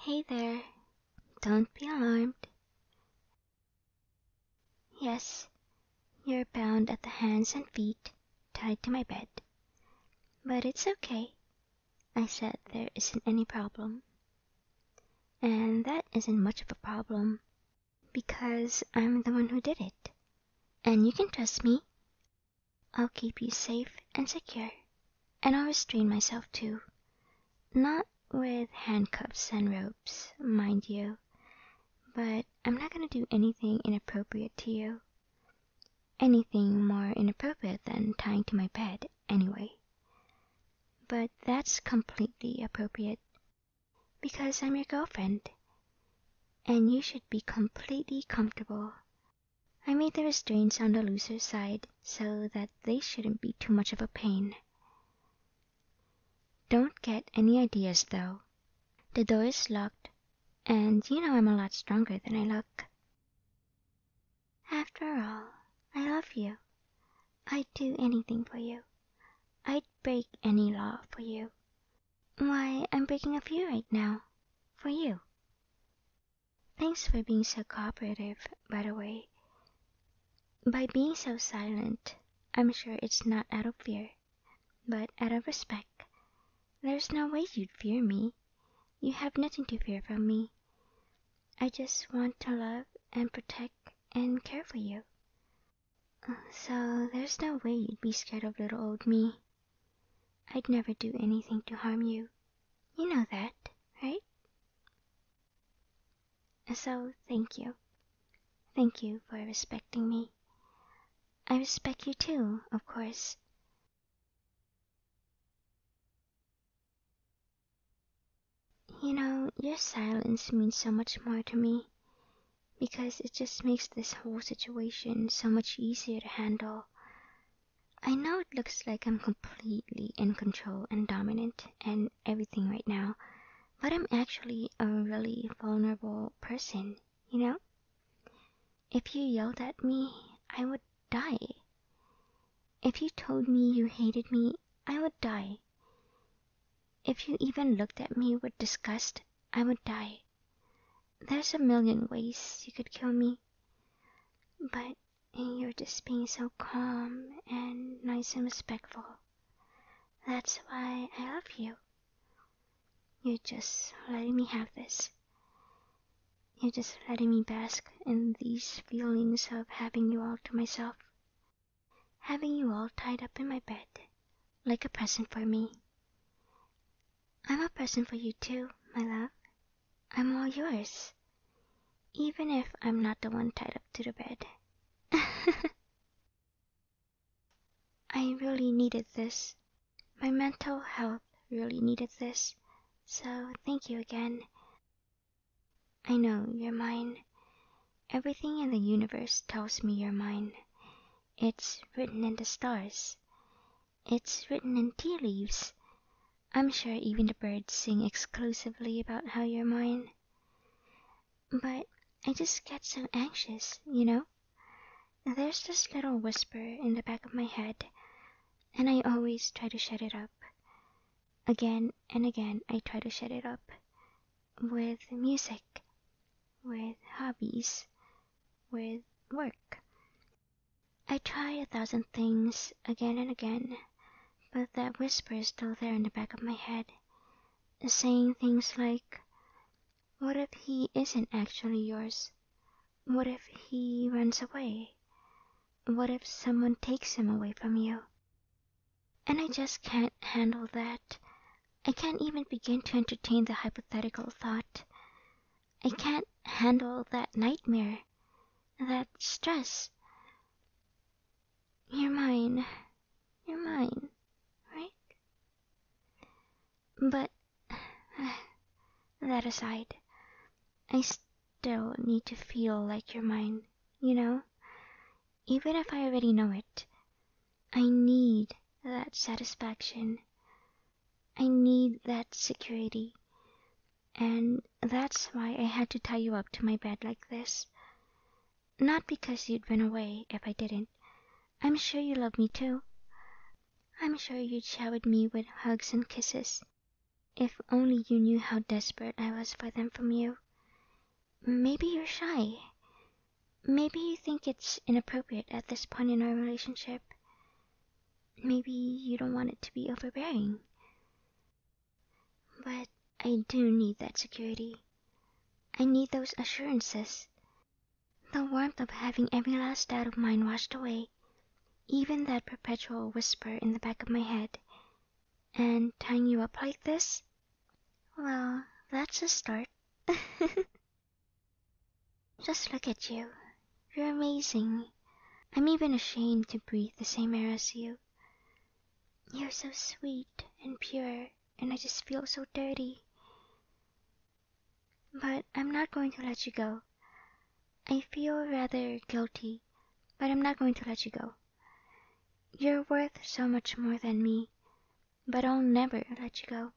Hey there, don't be alarmed. Yes, you're bound at the hands and feet, tied to my bed. But it's okay. I said there isn't any problem. And that isn't much of a problem. Because I'm the one who did it. And you can trust me. I'll keep you safe and secure. And I'll restrain myself too. Not with handcuffs and ropes, mind you. But I'm not going to do anything inappropriate to you. Anything more inappropriate than tying to my bed, anyway. But that's completely appropriate. Because I'm your girlfriend. And you should be completely comfortable. I made the restraints on the looser side so that they shouldn't be too much of a pain. Don't get any ideas, though. The door is locked, and you know I'm a lot stronger than I look. After all, I love you. I'd do anything for you. I'd break any law for you. Why, I'm breaking a few right now. For you. Thanks for being so cooperative, by the way. By being so silent, I'm sure it's not out of fear, but out of respect. There's no way you'd fear me. You have nothing to fear from me. I just want to love and protect and care for you. So there's no way you'd be scared of little old me. I'd never do anything to harm you. You know that, right? So thank you. Thank you for respecting me. I respect you too, of course. You know, your silence means so much more to me because it just makes this whole situation so much easier to handle. I know it looks like I'm completely in control and dominant and everything right now, but I'm actually a really vulnerable person, you know? If you yelled at me, I would die. If you told me you hated me, I would die. If you even looked at me with disgust, I would die. There's a million ways you could kill me. But you're just being so calm and nice and respectful. That's why I love you. You're just letting me have this. You're just letting me bask in these feelings of having you all to myself having you all tied up in my bed, like a present for me. I'm a present for you too, my love. I'm all yours, even if I'm not the one tied up to the bed. I really needed this. My mental health really needed this. So thank you again. I know you're mine. Everything in the universe tells me you're mine. It's written in the stars. It's written in tea leaves. I'm sure even the birds sing exclusively about how you're mine. But I just get so anxious, you know? There's this little whisper in the back of my head, and I always try to shut it up. Again and again I try to shut it up. With music, with hobbies, with work. I try a thousand things again and again, but that whisper is still there in the back of my head, saying things like, What if he isn't actually yours? What if he runs away? What if someone takes him away from you? And I just can't handle that. I can't even begin to entertain the hypothetical thought. I can't handle that nightmare, that stress. You're mine. You're mine, right? But that aside, I don't need to feel like you're mine, you know? Even if I already know it, I need that satisfaction. I need that security. And that's why I had to tie you up to my bed like this. Not because you'd run away if I didn't. I'm sure you love me too. I'm sure you would showered me with hugs and kisses. If only you knew how desperate I was for them from you. Maybe you're shy. Maybe you think it's inappropriate at this point in our relationship. Maybe you don't want it to be overbearing. But I do need that security. I need those assurances. The warmth of having every last doubt of mine washed away, even that perpetual whisper in the back of my head. And tie you up like this? Well, that's a start. Just look at you. You're amazing. I'm even ashamed to breathe the same air as you. You're so sweet and pure, and I just feel so dirty. But I'm not going to let you go. I feel rather guilty, but I'm not going to let you go. You're worth so much more than me, but I'll never let you go.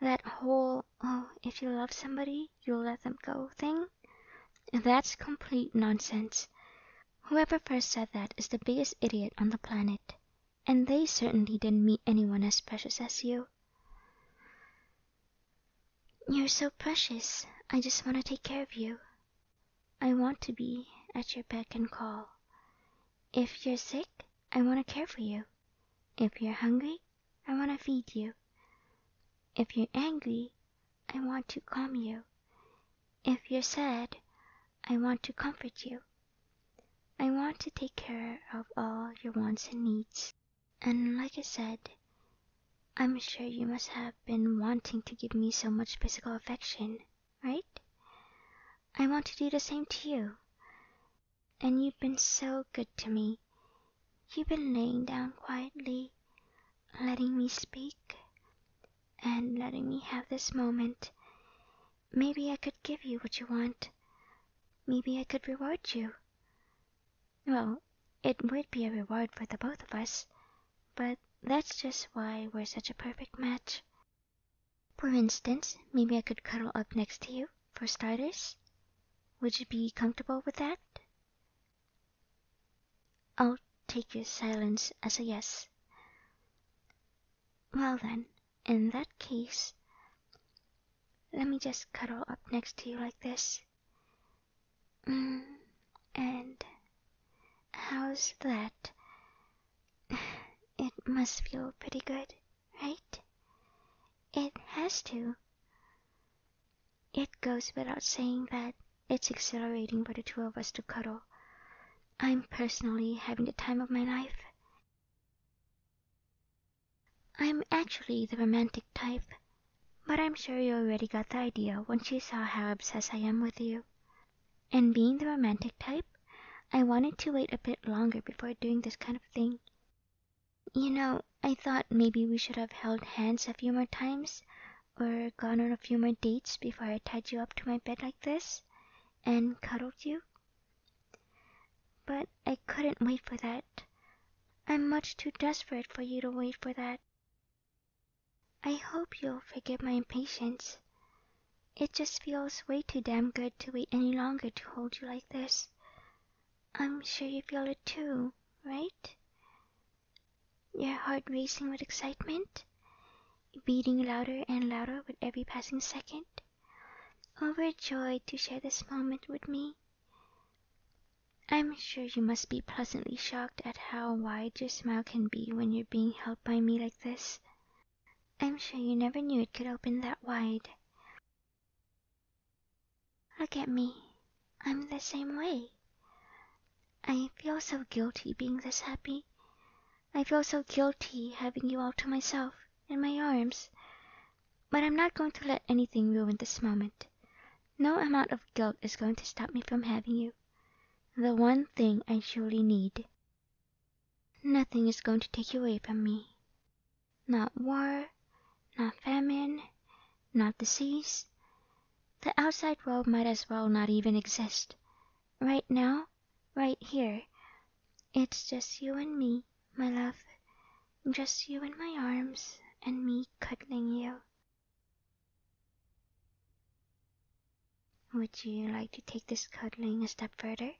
That whole, oh, if you love somebody, you'll let them go thing, that's complete nonsense. Whoever first said that is the biggest idiot on the planet, and they certainly didn't meet anyone as precious as you. You're so precious I just want to take care of you. I want to be at your beck and call. If you're sick, I want to care for you. If you're hungry, I want to feed you. If you're angry, I want to calm you. If you're sad, I want to comfort you. I want to take care of all your wants and needs. And like I said, I'm sure you must have been wanting to give me so much physical affection, right? I want to do the same to you. And you've been so good to me. You've been laying down quietly, letting me speak, and letting me have this moment. Maybe I could give you what you want. Maybe I could reward you. Well, it would be a reward for the both of us, but that's just why we're such a perfect match. For instance, maybe I could cuddle up next to you, for starters. Would you be comfortable with that? I'll take your silence as a yes. Well then, in that case, let me just cuddle up next to you like this. Mm, and how's that? It must feel pretty good, right? It has to. It goes without saying that it's exhilarating for the two of us to cuddle. I'm personally having the time of my life. I'm actually the romantic type, but I'm sure you already got the idea when you saw how obsessed I am with you. And being the romantic type, I wanted to wait a bit longer before doing this kind of thing. You know, I thought maybe we should have held hands a few more times or gone on a few more dates before I tied you up to my bed like this and cuddled you. But I couldn't wait for that. I'm much too desperate for you to wait for that. I hope you'll forgive my impatience. It just feels way too damn good to wait any longer to hold you like this. I'm sure you feel it too, right? Your heart racing with excitement, beating louder and louder with every passing second, overjoyed to share this moment with me. I'm sure you must be pleasantly shocked at how wide your smile can be when you're being held by me like this. I'm sure you never knew it could open that wide. Look at me. I'm the same way. I feel so guilty being this happy. I feel so guilty having you all to myself, in my arms. But I'm not going to let anything ruin this moment. No amount of guilt is going to stop me from having you the one thing I surely need. Nothing is going to take you away from me. Not war, not famine, not disease. The outside world might as well not even exist. Right now, right here, it's just you and me. My love, just you in my arms and me cuddling you. Would you like to take this cuddling a step further?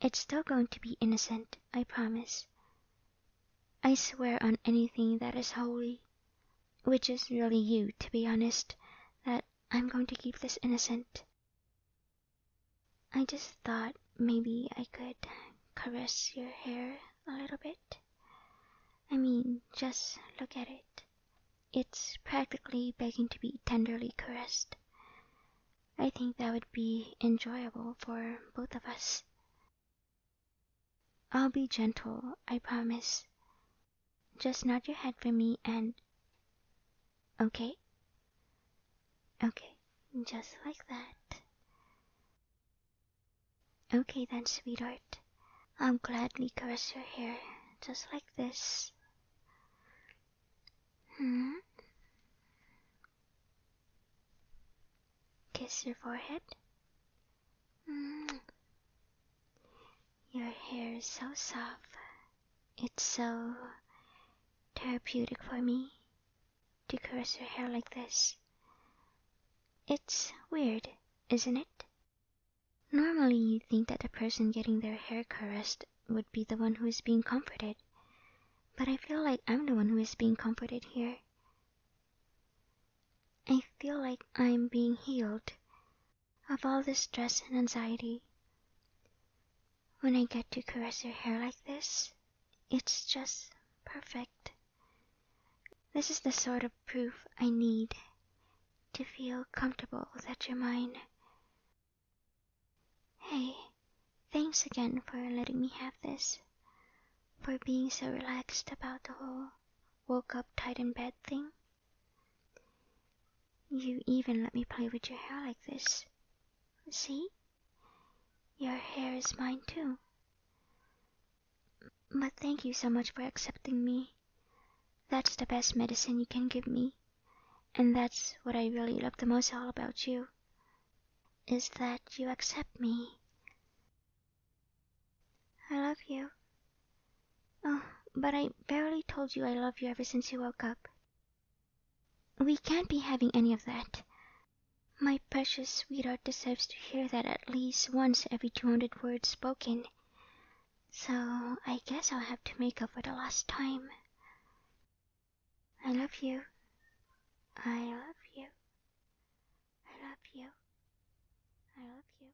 It's still going to be innocent, I promise. I swear on anything that is holy, which is really you, to be honest, that I'm going to keep this innocent. I just thought maybe I could caress your hair a little bit. I mean, just look at it. It's practically begging to be tenderly caressed. I think that would be enjoyable for both of us. I'll be gentle, I promise. Just nod your head for me and. Okay? Okay, just like that. Okay then, sweetheart. I'll gladly caress your hair, just like this. Hmm? Kiss your forehead. Mm. Your hair is so soft, it's so therapeutic for me to caress her hair like this. It's weird, isn't it? Normally you'd think that the person getting their hair caressed would be the one who is being comforted, but I feel like I'm the one who is being comforted here. I feel like I'm being healed of all this stress and anxiety. When I get to caress your hair like this, it's just perfect. This is the sort of proof I need to feel comfortable that you're mine. Hey, thanks again for letting me have this, for being so relaxed about the whole woke up tight in bed thing. You even let me play with your hair like this. See? Your hair is mine too. But thank you so much for accepting me. That's the best medicine you can give me. And that's what I really love the most all about you. Is that you accept me. I love you. Oh, but I barely told you I love you ever since you woke up. We can't be having any of that. My precious sweetheart deserves to hear that at least once every two hundred words spoken. So I guess I'll have to make up for the lost time. I love you. I love you. I love you. I love you.